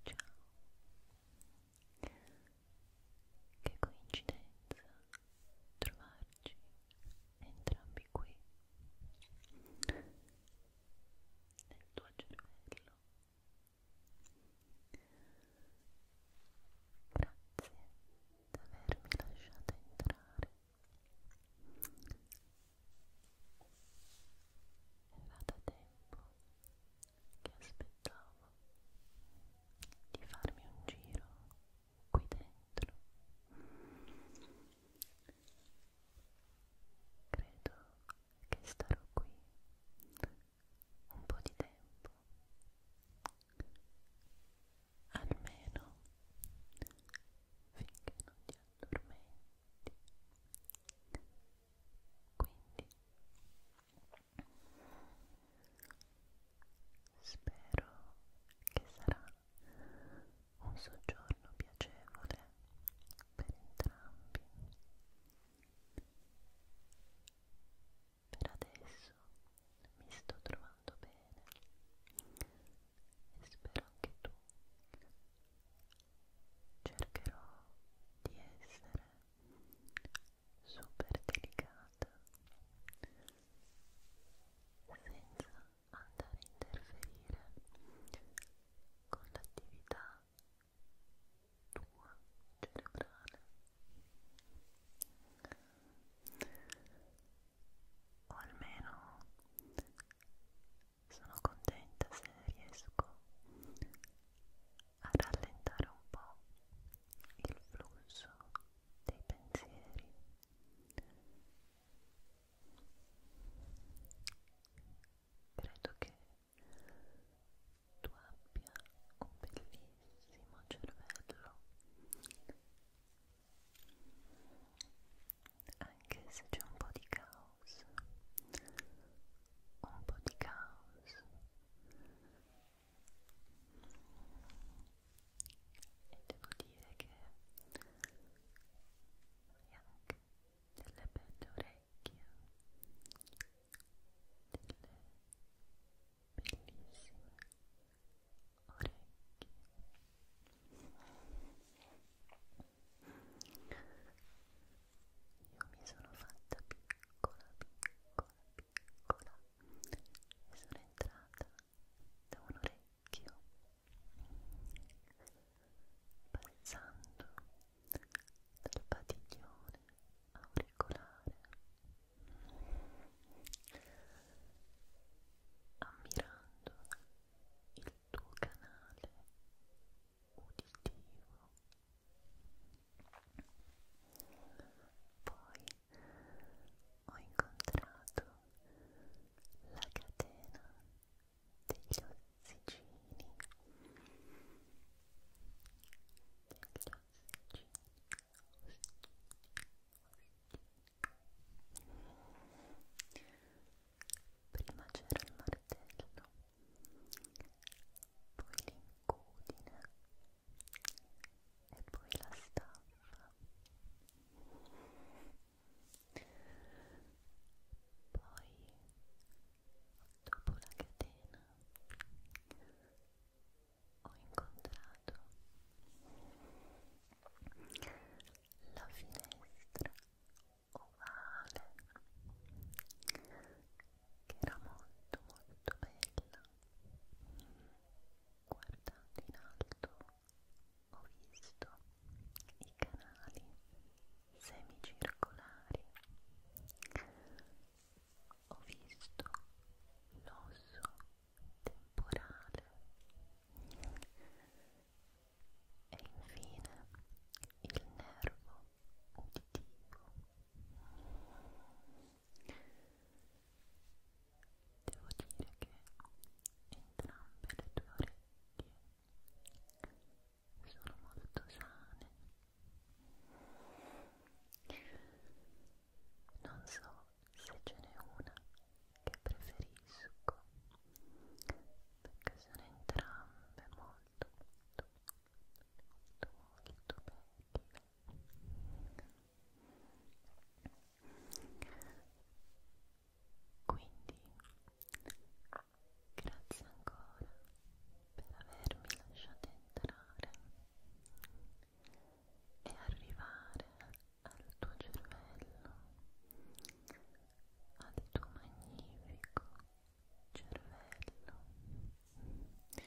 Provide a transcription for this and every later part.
Che coincidenza trovarci entrambi qui nel tuo cervello. Grazie di avermi lasciato entrare era da tempo che aspettavo di farmi un giro qui dentro. Credo che starò qui un po' di tempo almeno finché non ti addormenti quindi spero che sarà un soggiorno piacevole per entrambi per adesso mi sto trovando bene bene e spero anche tu cercherò di essere super delicata senza andare a interferire con l'attività tua cerebrale o almeno sono contenta se riesco a rallentare un po' il flusso dei pensieri credo che tu abbia un bellissimo cervello anche se c'è un po' di caos un po' di caos e devo dire che hai anche delle belle orecchie delle bellissime orecchie io mi sono fatta piccola, piccola, piccola e sono entrata da un orecchio passando dal padiglione auricolare ammirando il tuo canale uditivo. Poi ho incontrato la catena degli ossicini, prima c'era il martello poi l'incudine e poi la staffa poi dopo la catena ho incontrato la finestra ovale che era molto molto bella guardando in alto ho visto i canali semicircolari ho visto l'osso temporale e infine il nervo uditivo. Devo dire che entrambe le tue orecchie sono molto sane. Non so se ce n'è una che preferisco perché sono entrambe molto molto molto molto belle quindi grazie ancora per avermi lasciato entrare e arrivare al tuo cervello, al tuo magnifico cervello e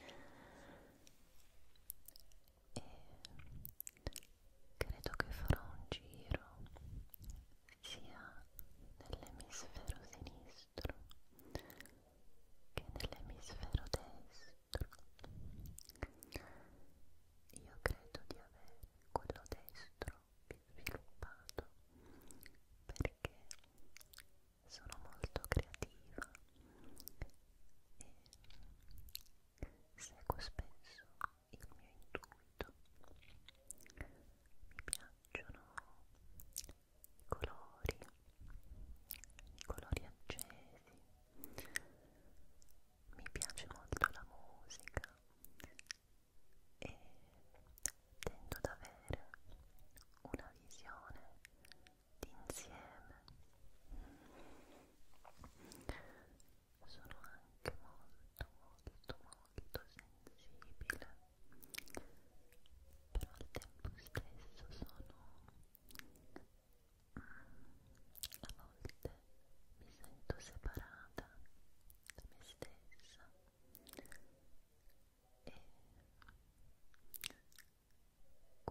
credo che farò un giro sia nell'emisfero sinistro che nell'emisfero destro io credo di avere quello destro più sviluppato perché sono molto creativa e seguo spesso il mio intuito. Mi piacciono i colori, i colori accesi, mi piace molto la musica e tendo ad avere una visione d'insieme. Sono anche molto molto molto sensibile, però al tempo stesso sono a volte mi sento separata da me stessa e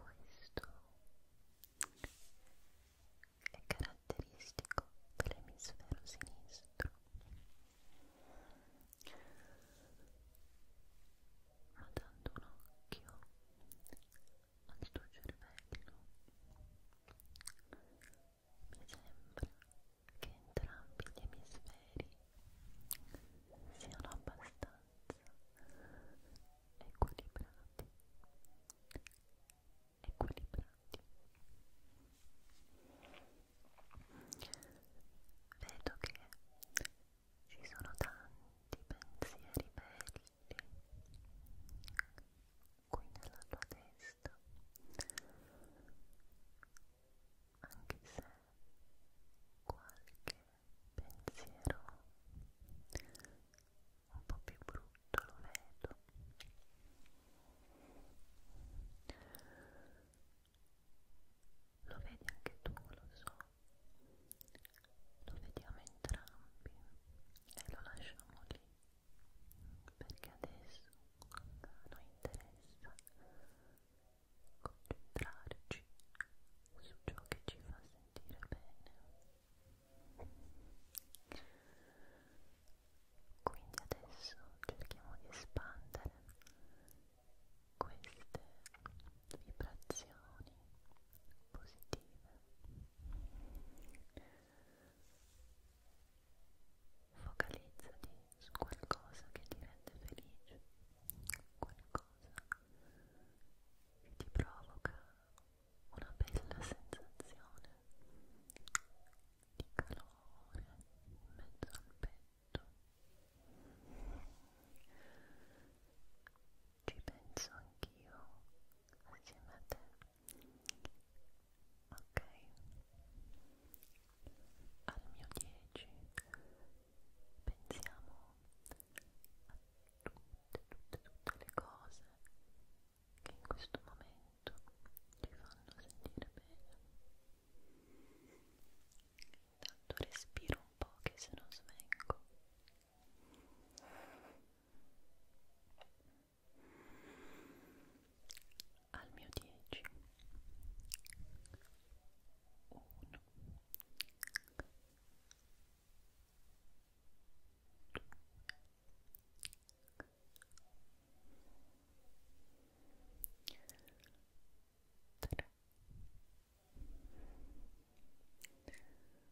questo è caratteristico dell'emisfero sinistro ma dando un occhio al tuo cervello mi sembra che entrambi gli emisferi siano abbastanza equilibrati equilibrati vedo che ci sono tanti pensieri belli qui nella tua testa anche se qualche pensiero un po' più brutto lo vedo lo vedi anche tu, lo so lo vediamo entrambi e lo lasciamo lì perché adesso a noi interessa concentrarci su ciò che ci fa sentire bene quindi adesso cerchiamo di espandere queste vibrazioni positive Focalizzati su qualcosa che ti rende felice, qualcosa che ti provoca una bella sensazione di calore in mezzo al petto. Ci penso anch'io assieme a te ok al mio 10 pensiamo a tutte tutte tutte le cose che in questo momento ti fanno sentire bene intanto respiro un po' che se no svengo al mio 10 1 2 3 4 5 6 7 8 9 10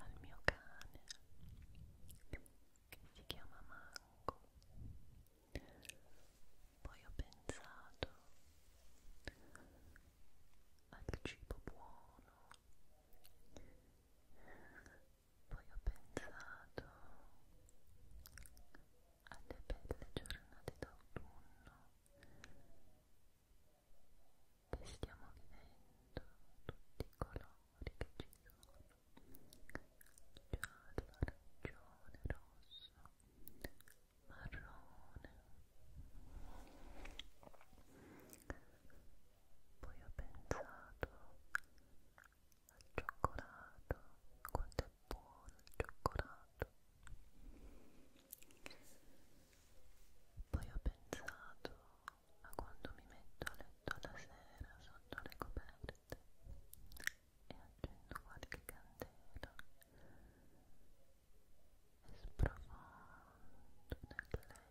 al mio cane che si chiama Mango. Poi ho pensato al cibo buono. Poi ho pensato alle belle giornate d'autunno che stiamo vivendo, tutti i colori che ci sono, giallo, arancione, rosso, marrone. Poi ho pensato al cioccolato, quanto è buono il cioccolato. Poi ho pensato Ecco, a quando mi metto a letto la sera sotto le coperte e accendo qualche candela e sprofondo nel letto sprofondo nel letto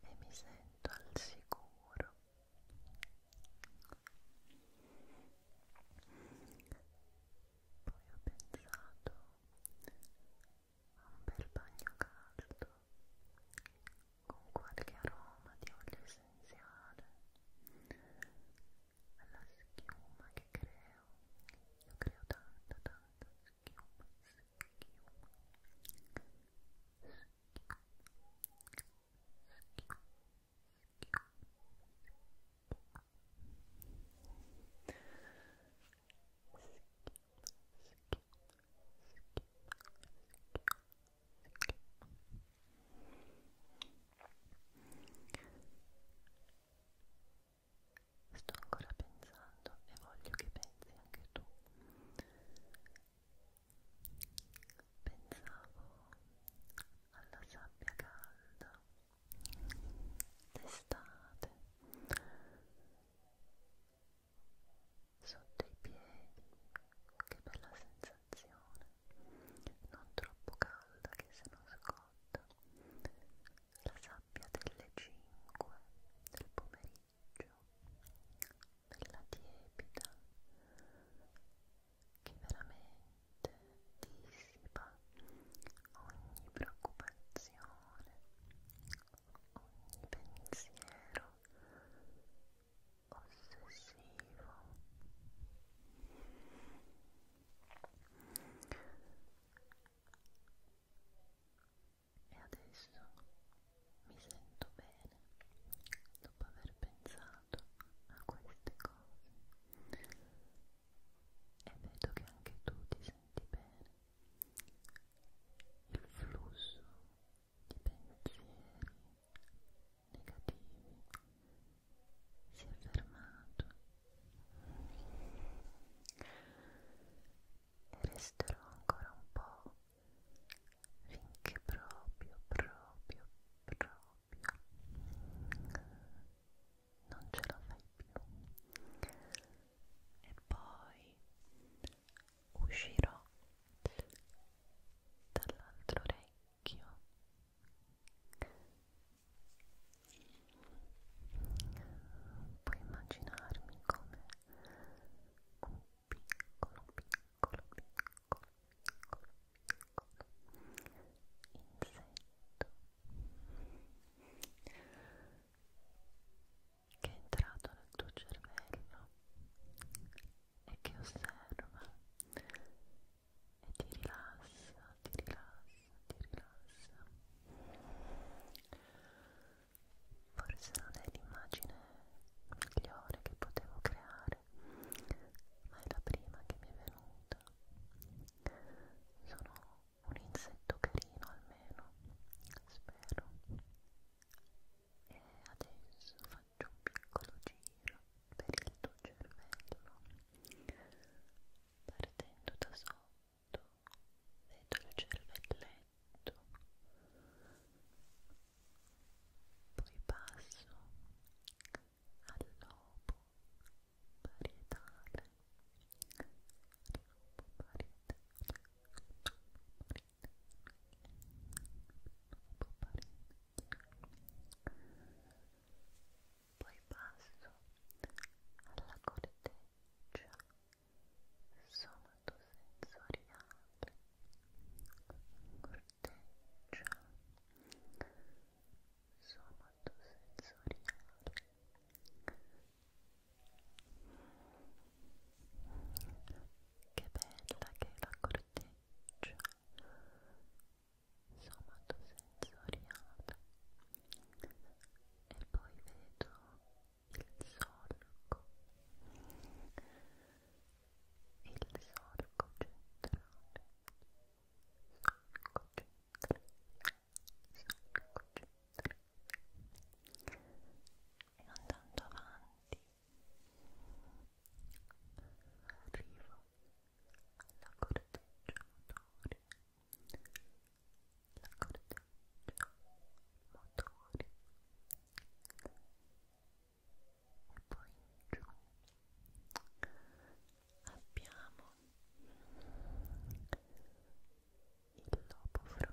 e mi sento al sicuro poi ho pensato a un bel bagno caldo con qualche aroma di olio essenziale alla schiuma che creo io creo tanta tanta schiuma schiuma schiuma Sto ancora pensando e voglio che pensi anche tu Pensavo alla sabbia calda d'estate sotto i piedi, che bella sensazione, non troppo calda che se scotta, la sabbia delle 5 del pomeriggio, bella tiepida che veramente dissipa ogni preoccupazione, ogni pensiero ossessivo. E adesso mi sento bene dopo aver pensato abituato a queste cose e vedo che anche tu ti senti bene il flusso di pensieri negativi si è fermato e resterò ancora un po' finché proprio, proprio, proprio non ce la fai più e poi uscirò dall'altro orecchio puoi immaginarmi come un piccolo piccolo piccolo piccolo che è entrato nel tuo cervello e che osserva e ti rilassa, ti rilassa, ti rilassa. Forse non è l'immagine migliore che potevo creare fare ma è la prima che mi è venuta sono un insetto carino almeno spero e adesso faccio un piccolo giro per il tuo cervello partendo da sotto vedo il cervelletto poi passo al lobo parietale lobo parietale lobo parietale poi passo alla corteccia somatosensoriale corteccia somatosensoriale che bella che è la corteccia somatosensoriale e poi vedo il solco il solco centrale, solco centrale, solco centrale e andando avanti arrivo alla corteccia motoria la corteccia motoria e poi in giù abbiamo il lobo frontale il lobo frontale e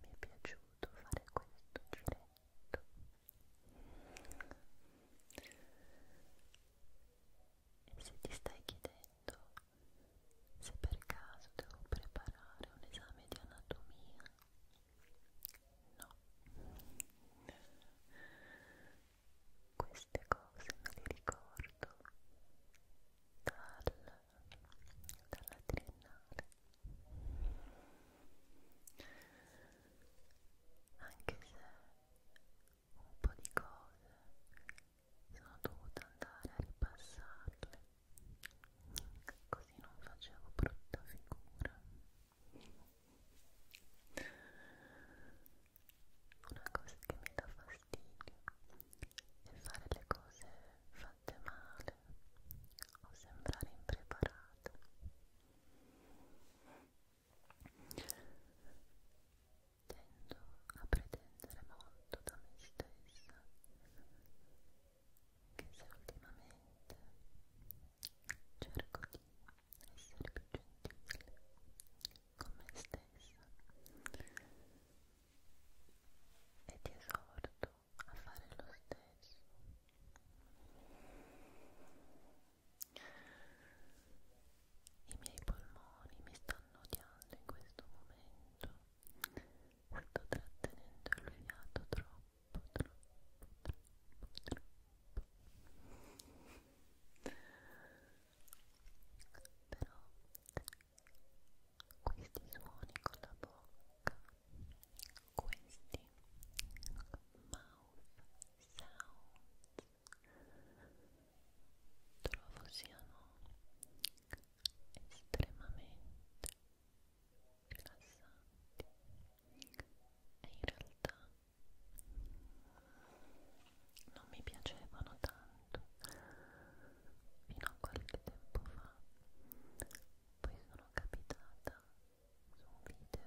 mi è piaciuto fare questo giretto e se ti stai chiedendo se per caso devo preparare un esame di anatomia no queste cose me le ricordo dal dalla triennale anche se un po' di cose sono dovuta andare a ripassarle così non facevo brutta figura una cosa che mi dà fastidio è fare le cose fatte male o sembrare impreparata. Tendo a pretendere molto da me stessa che se ultimamente cerco di essere più gentile con me stessa e ti esorto a fare lo stesso. I miei polmoni mi stanno odiando in questo momento, sto trattenendo il fiato troppo, troppo, troppo, troppo. Però questi suoni con la bocca, questi mouth sounds trovo siano estremamente rilassanti e in realtà non mi piacevano tanto fino a qualche tempo fa poi sono capitata su un video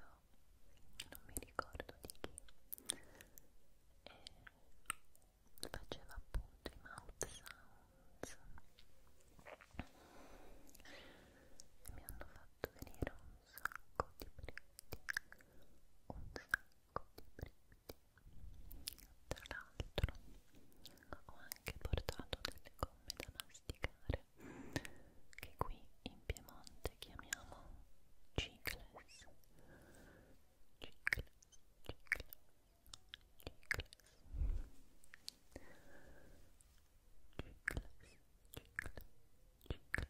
non mi ricordo di chi e faceva appunto i mouth sounds e mi hanno fatto venire un sacco di britti un sacco di britti tra l'altro ho anche portato delle gomme da masticare che qui in Piemonte chiamiamo cicles. Cicles, cicles, cicles. Cicles, cicles, cicles, cicles.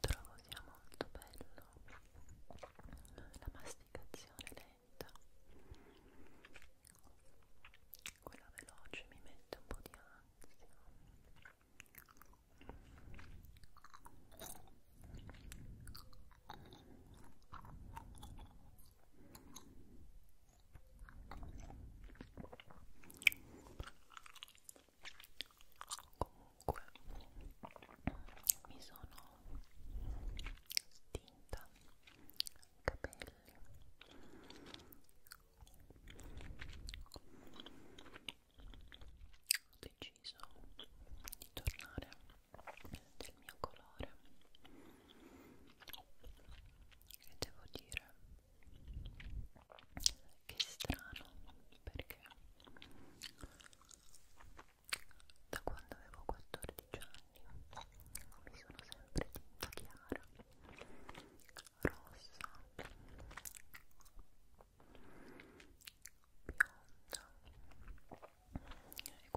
trovo sia molto bello la masticazione lenta quella veloce mi mette un po' di ansia comunque mi sono stinta capelli ho deciso di tornare del mio colore e devo dire che strano perché da quando avevo 14 anni mi sono sempre tinta chiara rossa bionda e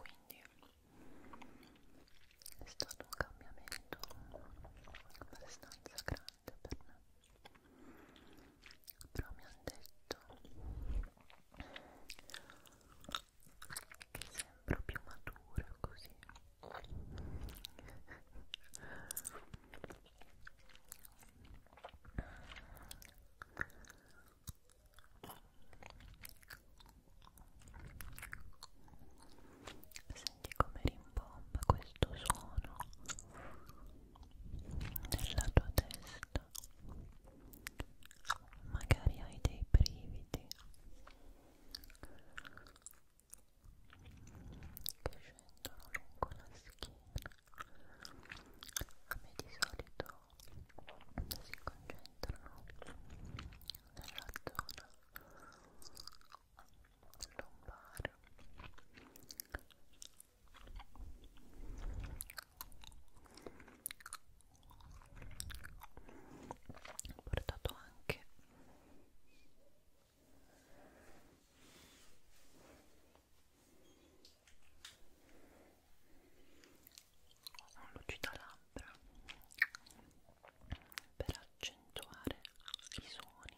quindi è stato un cambiamento abbastanza grande giusta per me però mi hanno detto che sembro più matura così senti come rimbomba questo suono nella tua testa magari hai dei brividi che scendono lungo la schiena a me di solito si concentrano nella zona lombare ho portato anche un lucidalabbra per accentuare i suoni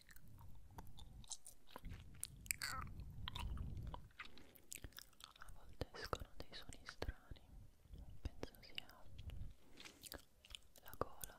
a volte escono dei suoni strani penso sia la gola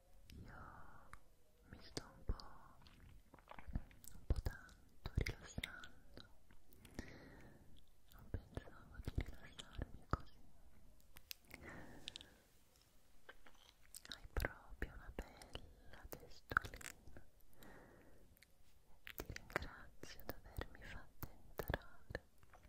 io mi sto un po', un po' tanto rilassando, non pensavo di rilassarmi così. Hai proprio una bella testolina. Ti ringrazio di avermi fatto entrare. Ti ringrazio.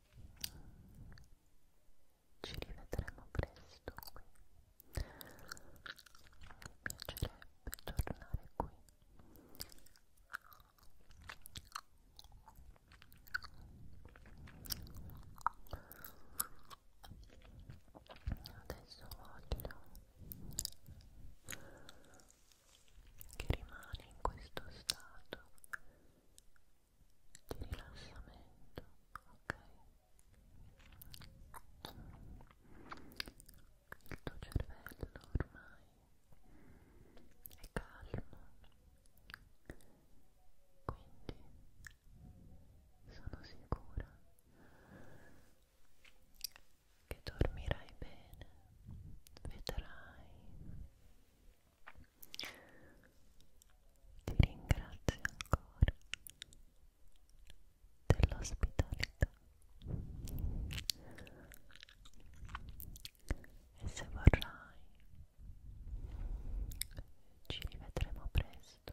ci rivedremo presto qui mi piacerebbe tornare qui adesso voglio che rimane in questo stato di rilassamento, ok? Il tuo cervello ormai è calmo, quindi sono sicura che dormirai bene, vedrai ti ringrazio ancora dell'ospitalità e se vorrai ci rivedremo presto